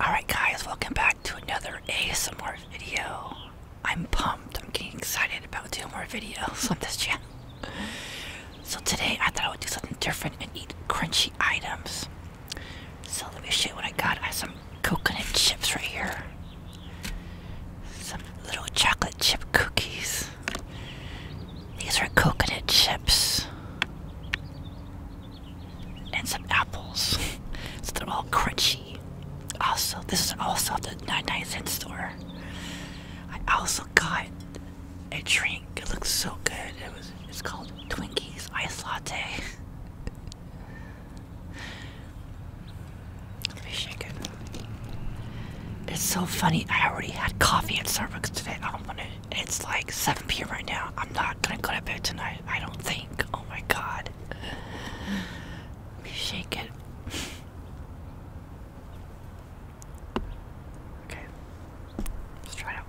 Alright guys, welcome back to another ASMR video. I'm pumped. I'm getting excited about doing more videos on this channel. So today I thought I would do something different and eat crunchy items. So let me show you what I got. I have some coconut chips right here. Some little chocolate chip cookies. These are coconut chips and some apples. so they're all crunchy. Also, this is also at the 99 cent store. I also got a drink. It looks so good. It was it's called Twinkies Ice Latte. Let me shake it. It's so funny. I already had coffee at Starbucks today. I don't want to it's like 7 p.m. right now. I'm not gonna go to bed tonight. I don't think. Oh my god. Let me shake it. Okay. Let's try it out.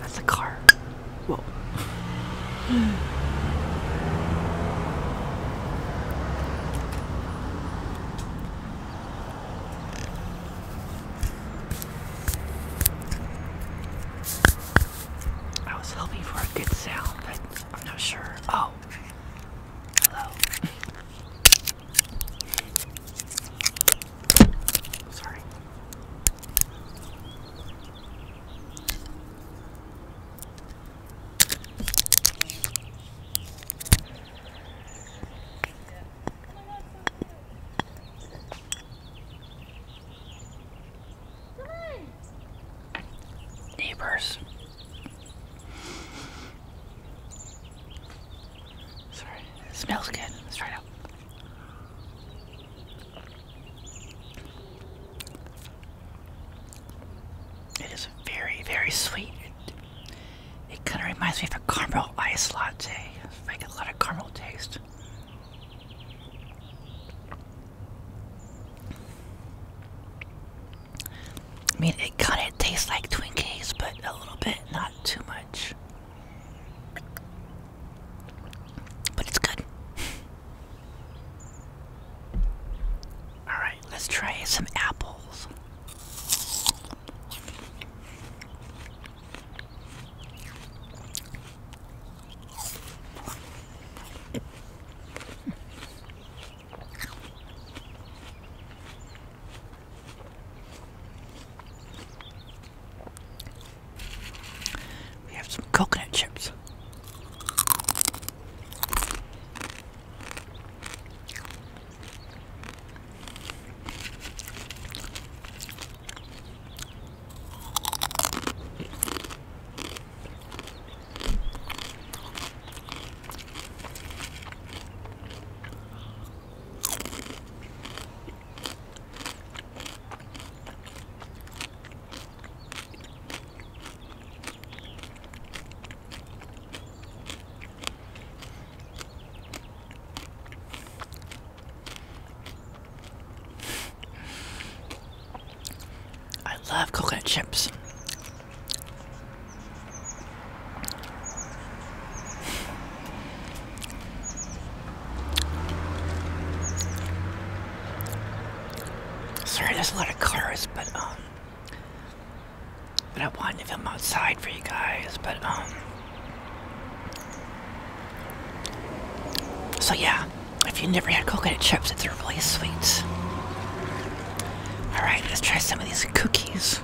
That's a car. Whoa. I was hoping for a good sound, but I'm not sure. Oh, hello. Sorry. Neighbors. Sorry, smells good. Let's try it out. It is very, very sweet. It, kind of reminds me of a caramel ice latte. I get a lot of caramel taste. I mean, it kind of tastes like Twinkies, but a little bit, not too much. But it's good. Alright, let's try some apples. We have some coconut chips. I love coconut chips. Sorry, there's a lot of cars, but um, but I wanted to film outside for you guys, but um, so yeah, if you never had coconut chips, it's really sweet. All right, let's try some of these cookies.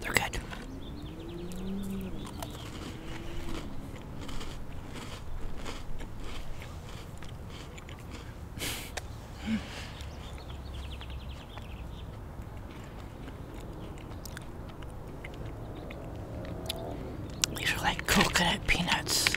They're good. These are like coconut peanuts.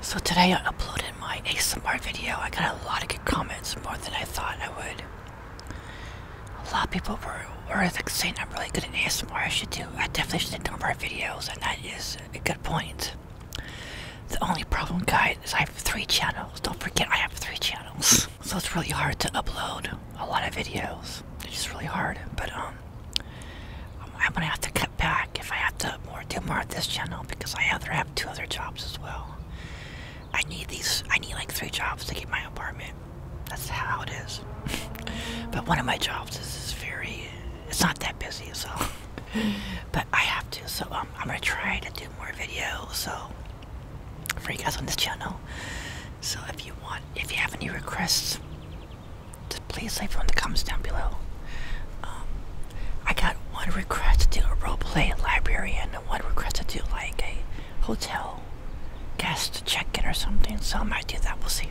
So today I uploaded my ASMR video. I got a lot of good comments, more than I thought I would. A lot of people were, were saying I'm really good at ASMR. I should do. I definitely should do more videos, and that is a good point. The only problem, guys, is I have three channels. Don't forget, I have three channels, so it's really hard to upload a lot of videos. It's just really hard. But um, I'm gonna have to cut back if I have to do more of this channel because I other have two other jobs as well. I need these. I need like three jobs to keep my apartment. That's how it is. but one of my jobs is, is very. It's not that busy, so. but I have to, so um, I'm gonna try to do more videos. So for you guys on this channel. So if you want, if you have any requests please leave in the comments down below. Um, I got one request to do a role roleplay librarian, and one request to do like a hotel guest check-in or something. So I might do that. We'll see.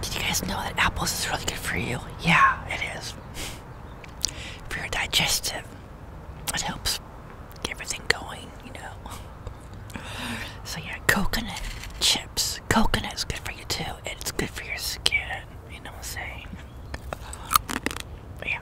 Did you guys know that apples is really good for you? Yeah, it is. for your digestive, it helps get everything going, you know. so, yeah, coconut chips. Coconut is good for you too, and it's good for your skin. You know what I'm saying? Uh, yeah.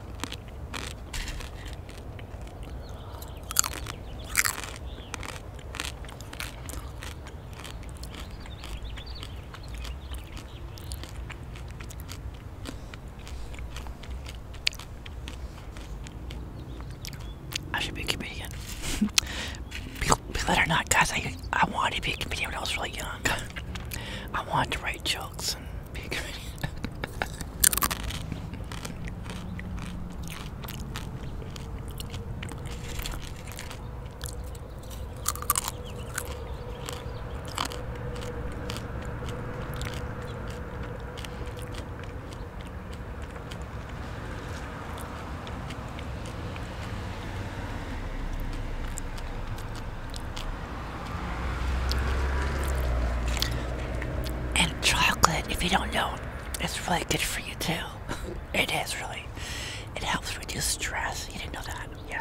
I should be keeping it again. not, guys, I wanted to be a comedian when I was really young. I wanted to write jokes and be a comedian. And chocolate, if you don't know, it's really good for you too. it is really. It helps reduce stress. You didn't know that, yeah.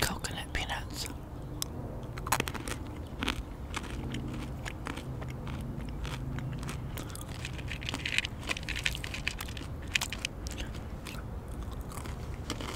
Coconut peanuts.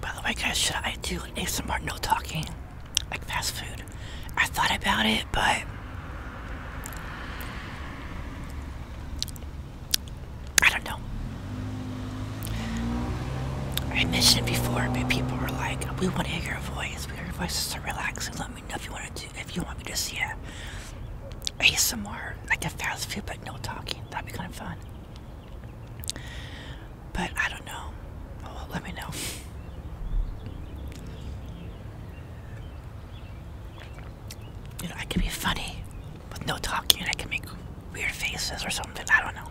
By the way, guys, should I do ASMR no talking? Like fast food? I thought about it, but. I don't know. I mentioned before, but people were like, "We want to hear your voice. Your voice is so relaxing. Let me know if you want to do, if you want me to see it." ASMR, like a fast food, but no talking. That'd be kind of fun. But I don't know. Oh, let me know. You know, I can be funny with no talking, and I can make weird faces or something. I don't know.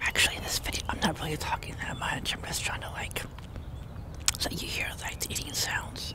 Actually, in this video, I'm not really talking that much. I'm just trying to like so you hear like eating sounds.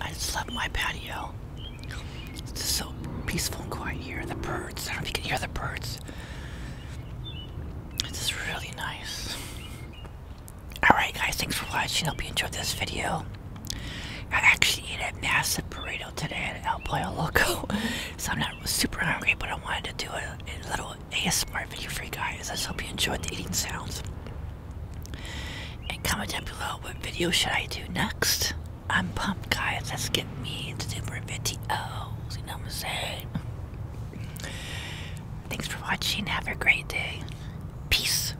I just love my patio. It's just so peaceful and quiet here. the birds. I don't know if you can hear the birds. It's just really nice. Alright guys, thanks for watching. Hope you enjoyed this video. I actually ate a massive burrito today at El Pollo Loco, so I'm not super hungry, but I wanted to do a, a little ASMR video for you guys. I hope you enjoyed the eating sounds. And comment down below what video should I do next. I'm pumped, guys. Let's get me to do more videos. You know what I'm saying? Thanks for watching. Have a great day. Peace.